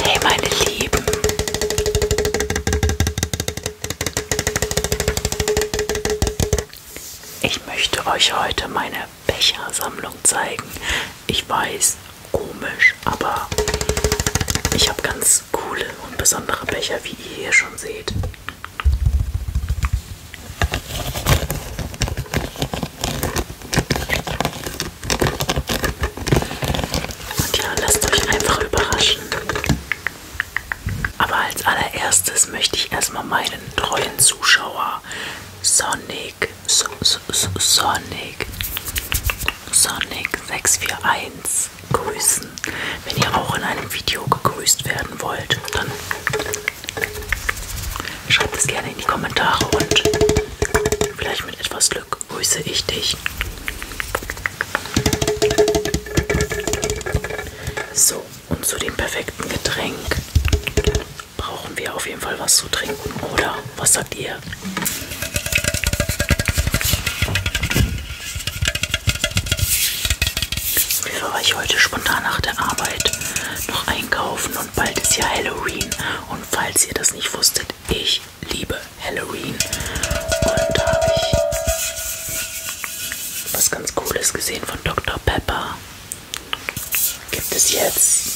Hey meine Lieben. Ich möchte euch heute meine Bechersammlung zeigen. Ich weiß, komisch, aber ich habe ganz coole und besondere Becher, wie ihr hier schon seht. Und ja, lasst euch einfach überraschen. Aber als allererstes möchte ich erstmal meinen treuen Zuschauer Sonic, so, so, so, Sonic, Sonic 641 grüßen. Wenn ihr auch in einem Video gegrüßt werden wollt, dann schreibt es gerne in die Kommentare und vielleicht mit etwas Glück grüße ich dich. So, und zu dem perfekten Getränk brauchen wir auf jeden Fall was zu trinken, oder? Was sagt ihr? Auf jeden Fall war ich heute spontan nach der Arbeit noch einkaufen und bald ist ja Halloween. Und falls ihr das nicht wusstet, ich liebe Halloween. Und da habe ich was ganz Cooles gesehen von Dr. Pepper. Gibt es jetzt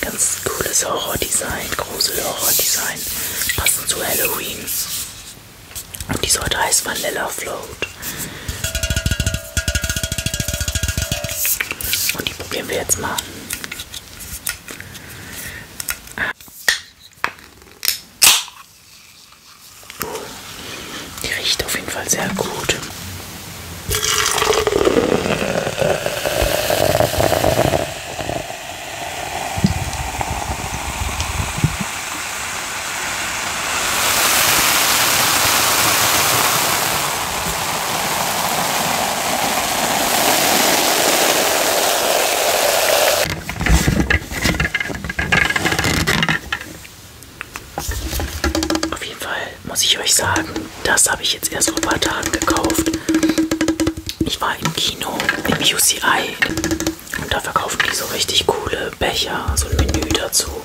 ganz cooles Horrordesign, Grusel-Horrordesign, passend zu Halloween. Und die Sorte heißt Vanilla Float. Und die probieren wir jetzt mal. Die riecht auf jeden Fall sehr gut. Auf jeden Fall muss ich euch sagen, das habe ich jetzt erst vor ein paar Tagen gekauft. Ich war im Kino, im UCI und da verkaufen die so richtig coole Becher, so ein Menü dazu.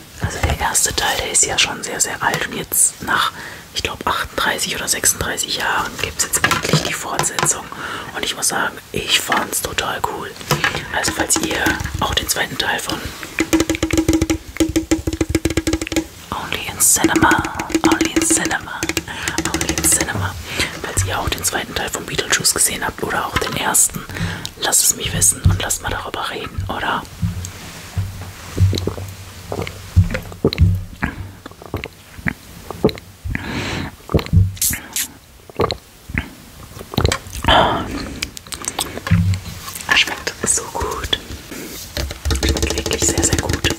Also der erste Teil, der ist ja schon sehr, sehr alt und jetzt nach, ich glaube, 38 oder 36 Jahren gibt es jetzt endlich die Fortsetzung und ich muss sagen, ich fand's total cool. Also falls ihr auch den zweiten Teil von Only in Cinema, Only in Cinema, Only in Cinema, falls ihr auch den zweiten Teil von Beetlejuice gesehen habt oder auch den ersten, Lass es mich wissen und lass mal darüber reden, oder? Er ah, schmeckt so gut. Schmeckt wirklich sehr, sehr gut.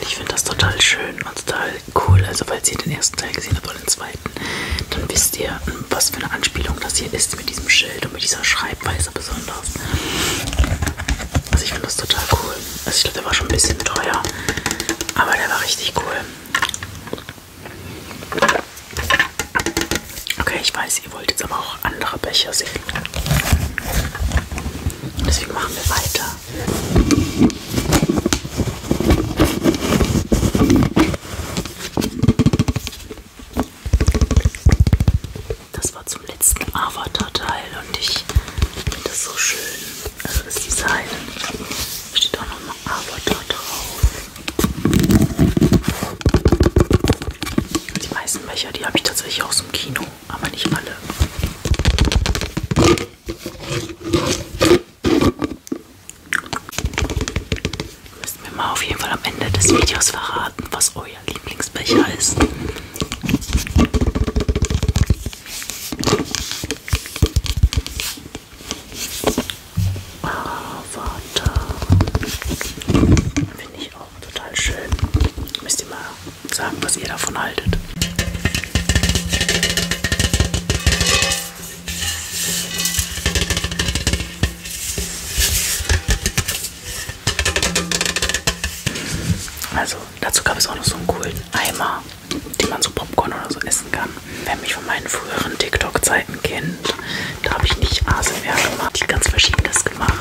Ich finde das total schön und total Cool, also falls ihr den ersten Teil gesehen habt oder den zweiten, dann wisst ihr, was für eine Anspielung das hier ist mit diesem Schild und mit dieser Schreibweise besonders. Also ich finde das total cool. Also ich glaube, der war schon ein bisschen teuer, aber der war richtig cool. Okay, ich weiß, ihr wollt jetzt aber auch andere Becher sehen. Deswegen machen wir weiter. Das war zum letzten Avatar-Teil und ich finde das so schön. Also das Design. Da steht auch nochmal Avatar drauf. Die meisten Becher, die habe ich tatsächlich aus dem Kino, aber nicht alle. Müsst mir mal auf jeden Fall am Ende des Videos verraten, was euer Lieblingsbecher ist. Avatar. Ah, Finde ich auch total schön. Müsst ihr mal sagen, was ihr davon haltet. Also dazu gab es auch noch so einen coolen Eimer, den man so Popcorn oder so essen kann. Wer mich von meinen früheren TikTok-Zeiten kennt, da habe ich nicht ASMR gemacht, ich ganz verschiedenes gemacht.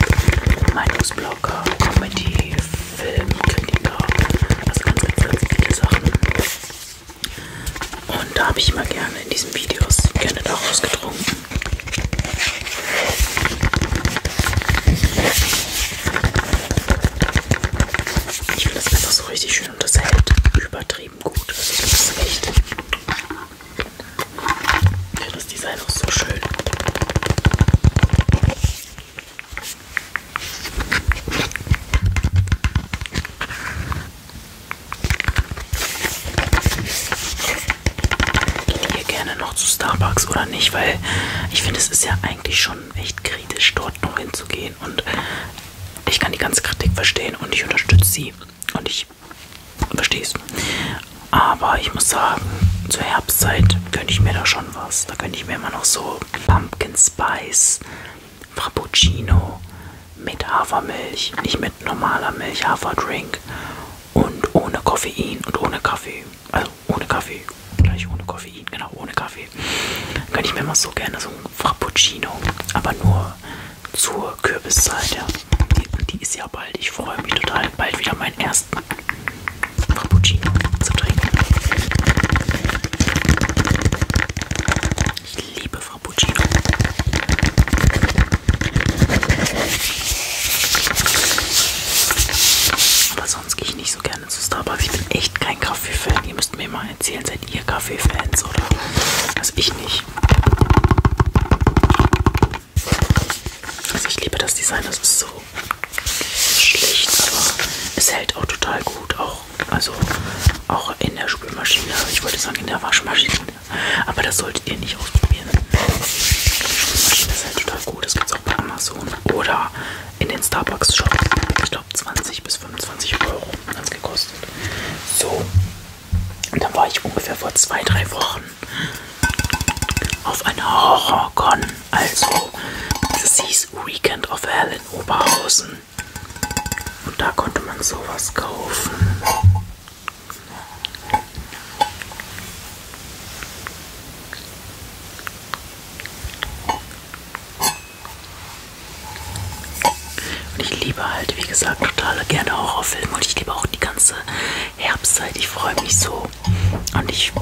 Meinungsblogger, Comedy, Filmkritiker, also ganz, ganz, ganz viele Sachen. Und da habe ich immer gerne in diesen Videos gerne da ausgetrunken. Ich finde das einfach so richtig schön und das hält übertrieben gut. Also das ist echt. Ja, das Design auch so schön. Hier gerne noch zu Starbucks oder nicht, weil ich finde, es ist ja eigentlich schon echt kritisch, dort noch hinzugehen. Und ich kann die ganze Kritik verstehen und ich unterstütze sie. Und ich verstehe es. Aber ich muss sagen, zur Herbstzeit könnte ich mir da schon schon was. Da könnte ich mir immer noch so Pumpkin Spice, Frappuccino mit Hafermilch, nicht mit normaler Milch, Haferdrink und ohne Koffein und ohne Kaffee. Also ohne Kaffee, gleich ohne Koffein, genau, ohne Kaffee. Da könnte ich mir immer so gerne so ein Frappuccino, aber nur zur Kürbiszeit, ja. Die, die ist ja bald. Ich freue mich total, bald wieder meinen ersten Frappuccino zu trinken. Ich liebe Frappuccino. Aber sonst gehe ich nicht so gerne zu Starbucks. Ich bin echt kein Kaffee-Fan. Ihr müsst mir mal erzählen, seid ihr Kaffee-Fans oder? Also ich nicht. Also ich liebe das Design, das ist so schlicht, aber es hält auch total gut. Auch, also auch in der Spülmaschine, ich wollte sagen in der Waschmaschine, aber das solltet ihr nicht ausprobieren. Die Spülmaschine ist halt total gut, das gibt es auch bei Amazon oder in den Starbucks-Shop. Ich glaube 20 bis 25 Euro hat es gekostet. So, und dann war ich ungefähr vor zwei, drei Wochen auf einer Horrorcon, also das hieß Weekend of Hell in Oberhausen. Und da konnte man sowas kaufen. Und ich liebe halt, wie gesagt, total gerne Horrorfilme und ich liebe auch die ganze Herbstzeit. Ich freue mich so und ich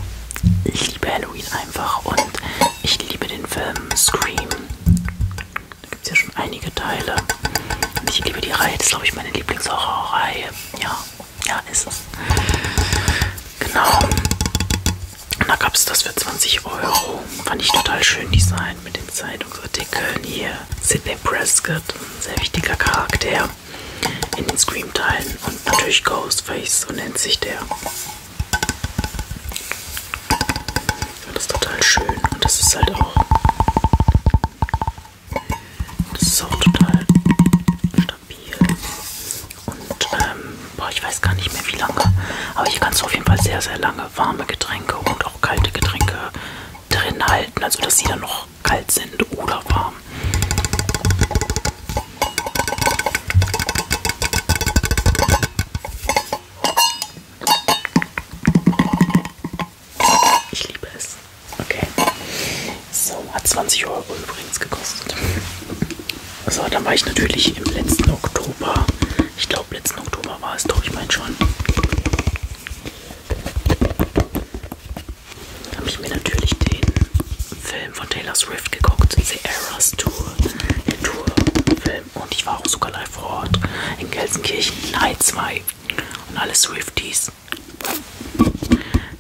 liebe Halloween einfach und ich liebe den Film Scream. Da gibt es ja schon einige Teile. Und ich liebe die Reihe, das ist glaube ich meine Lieblingshorrorreihe. Ja, ja, ist es. Genau. Und da gab es das für 20 Euro. Fand ich total schön Design mit den Zeitungsartikeln hier. Sidney Prescott, ein sehr wichtiger Charakter in den Scream-Teilen und natürlich Ghostface, so nennt sich der. Das ist total schön und das ist halt auch. Das ist auch total stabil. Und ähm, boah, ich weiß gar nicht mehr wie lange. Aber hier kannst du auf jeden Fall sehr, sehr lange warme Getränke und auch kalte Getränke drin halten. Also dass sie dann noch noch kalt sind oder warm. Ich liebe es. Okay. So, hat 20 Euro übrigens gekostet. So, dann war ich natürlich im letzten Oktober. Ich glaube, letzten Oktober war es doch, ich meine schon habe ich mir natürlich den Film von Taylor Swift geguckt, The Eras Tour, den Tour-Film. Und ich war auch sogar live vor Ort in Gelsenkirchen, Teil 2 und alle Swifties.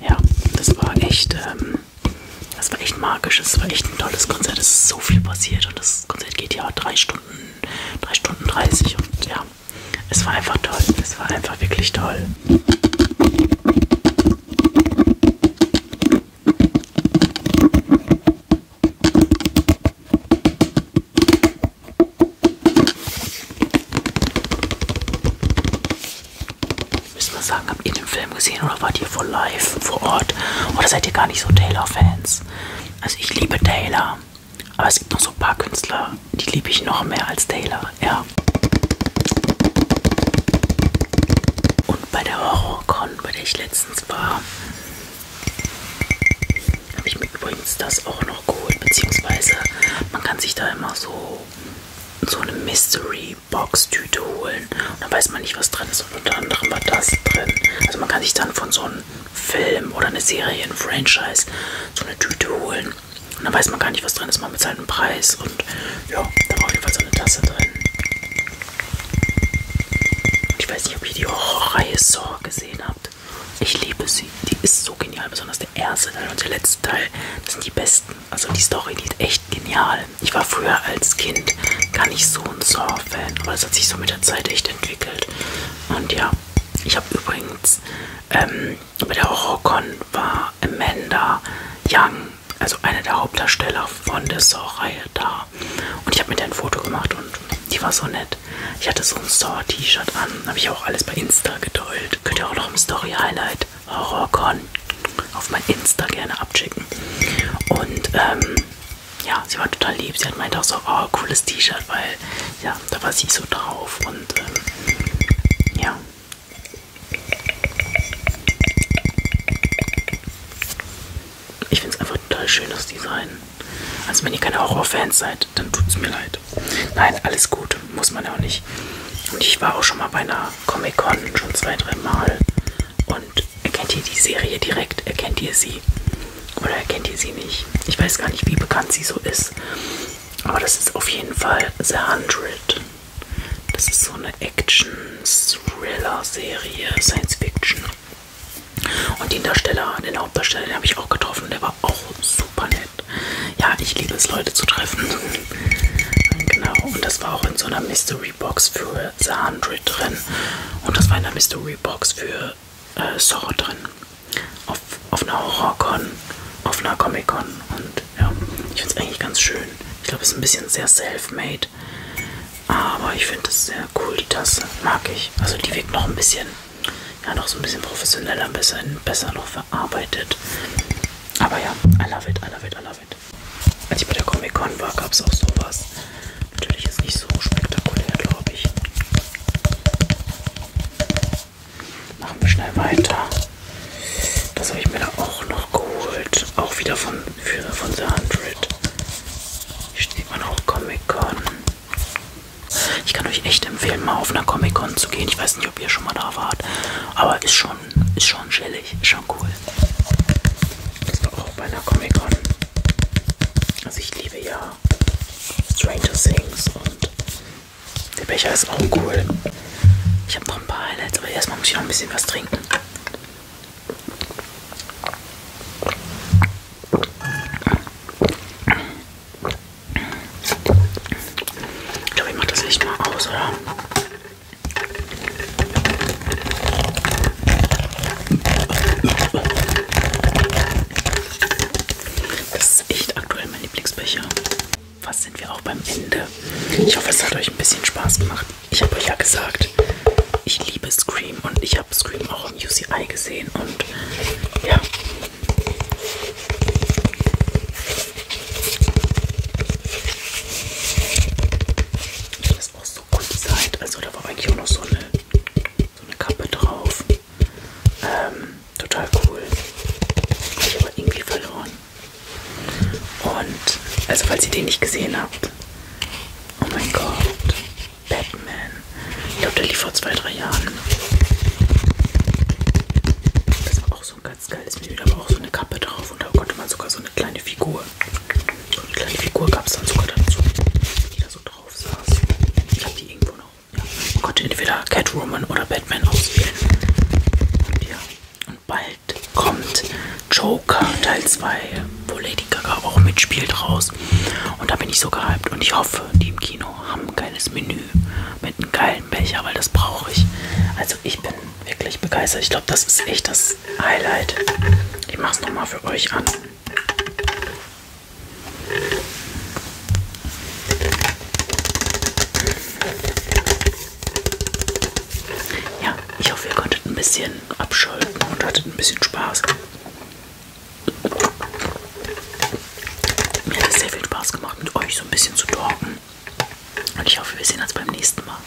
Ja, das war echt, ähm, das war echt magisch, es war echt ein tolles Konzert, es ist so viel passiert und das Konzert geht ja drei Stunden, drei Stunden 30 und ja, es war einfach toll. Es war einfach wirklich toll. Müssen wir sagen, habt ihr den Film gesehen oder wart ihr vor live, vor Ort? Oder seid ihr gar nicht so Taylor-Fans? Also ich liebe Taylor. Aber es gibt noch so ein paar Künstler, die liebe ich noch mehr als Taylor, ja. Und bei der HorrorCon, bei der ich letztens war, habe ich mir übrigens das auch noch geholt, beziehungsweise man kann sich da immer so, so eine Mystery-Box-Tüte holen. Und dann weiß man nicht, was drin ist. Und unter anderem war das drin. Also man kann sich dann von so einem Film oder einer Serie, ein Franchise, so eine Tüte holen und dann weiß man gar nicht, was drin ist. Man bezahlt einen Preis und ja, da war auf jeden Fall so eine Tasse drin. Und ich weiß nicht, ob ihr die Horrorreihe Saw gesehen habt. Ich liebe sie. Die ist so genial, besonders der erste Teil und der letzte Teil. Das sind die besten. Also die Story, die ist echt genial. Ich war früher als Kind gar nicht so ein Saw-Fan, aber das hat sich so mit der Zeit echt entwickelt. Und ja, ich habe übrigens ähm, bei der Horrorcon war Amanda Young, also eine der Hauptdarsteller von der Saw-Reihe, da. Und ich habe mit der ein Foto gemacht und die war so nett. Ich hatte so ein Saw-T-Shirt an, habe ich auch alles bei Insta geteilt. Könnt ihr auch noch im Story-Highlight Horrorcon auf mein Insta gerne abschicken. Und ähm, ja, sie war total lieb. Sie hat meint auch so, oh, cooles T-Shirt, weil ja, da war sie so drauf und ähm, ja. Ich finde es einfach total schönes Design. Also wenn ihr keine Horrorfans seid, dann tut es mir leid. Nein, alles gut, muss man ja auch nicht. Und ich war auch schon mal bei einer Comic-Con, schon zwei, drei Mal. Und erkennt ihr die Serie direkt? Erkennt ihr sie? Oder kennt ihr sie nicht? Ich weiß gar nicht, wie bekannt sie so ist. Aber das ist auf jeden Fall The 100. Das ist so eine Action-Thriller-Serie, Science-Fiction. Und den Darsteller, den Hauptdarsteller, den habe ich auch getroffen. Der war auch super nett. Ja, ich liebe es, Leute zu treffen. genau. Und das war auch in so einer Mystery Box für The 100 drin. Und das war in der Mystery Box für äh, Saw drin. Auf, auf einer Horrorcon, auf einer Comic-Con und ja, ich finde es eigentlich ganz schön. Ich glaube, es ist ein bisschen sehr self-made, aber ich finde es sehr cool, die Tasse. Mag ich. Also die wirkt noch ein bisschen, ja, noch so ein bisschen professioneller, ein bisschen besser noch verarbeitet. Aber ja, I love it, I love it, I love it. Als ich bei der Comic-Con war, gab es auch sowas. Natürlich ist nicht so spektakulär, glaube ich. Machen wir schnell weiter. Das habe ich mir da auch noch geholt. Auch wieder von, für, von The 100. Hier steht man auch Comic-Con. Ich kann euch echt empfehlen, mal auf einer Comic-Con zu gehen. Ich weiß nicht, ob ihr schon mal da wart. Aber ist schon, ist schon chillig. Ist schon cool. Das war auch bei einer Comic-Con. Also ich liebe ja ja, Stranger Things und der Becher ist auch cool. Ich habe noch ein paar Highlights, aber erstmal muss ich noch ein bisschen was trinken. Ich glaube, ich mache das Licht mal aus, oder? Das ist echt aktuell mein Lieblingsbecher. Was sind wir auch beim Ende? Ich hoffe, es hat euch ein bisschen Spaß gemacht. Ich habe euch ja gesagt, ich liebe Scream und ich habe Scream auch im UCI gesehen und ja. Das ist auch so cool designt. Also da war eigentlich auch noch so eine, so eine Kappe drauf. Ähm, total cool. Habe ich aber irgendwie verloren. Und, also falls ihr den nicht gesehen habt, oh mein Gott, Batman. Ich glaube, der lief vor zwei, drei Jahren. Das war auch so ein ganz geiles Menü. Da war auch so eine Kappe drauf und da konnte man sogar so eine kleine Figur. So eine kleine Figur gab es dann sogar dazu, die da so drauf saß. Ich habe die irgendwo noch. Ja. Man oh konnte entweder Catwoman oder Batman auswählen. Und, ja. Und bald kommt Joker Teil 2, wo Lady Gaga auch mitspielt raus. Und da bin ich so gehypt. Und ich hoffe, die im Kino haben ein geiles Menü mit einem geilen Becher, weil das brauche ich. Also ich bin wirklich begeistert. Ich glaube, das ist echt das Highlight. Ich mache es nochmal für euch an. Ja, ich hoffe, ihr konntet ein bisschen abschalten und hattet ein bisschen Spaß. Mir hat es sehr viel Spaß gemacht, mit euch so ein bisschen zu talken. Und ich hoffe, wir sehen uns beim nächsten Mal.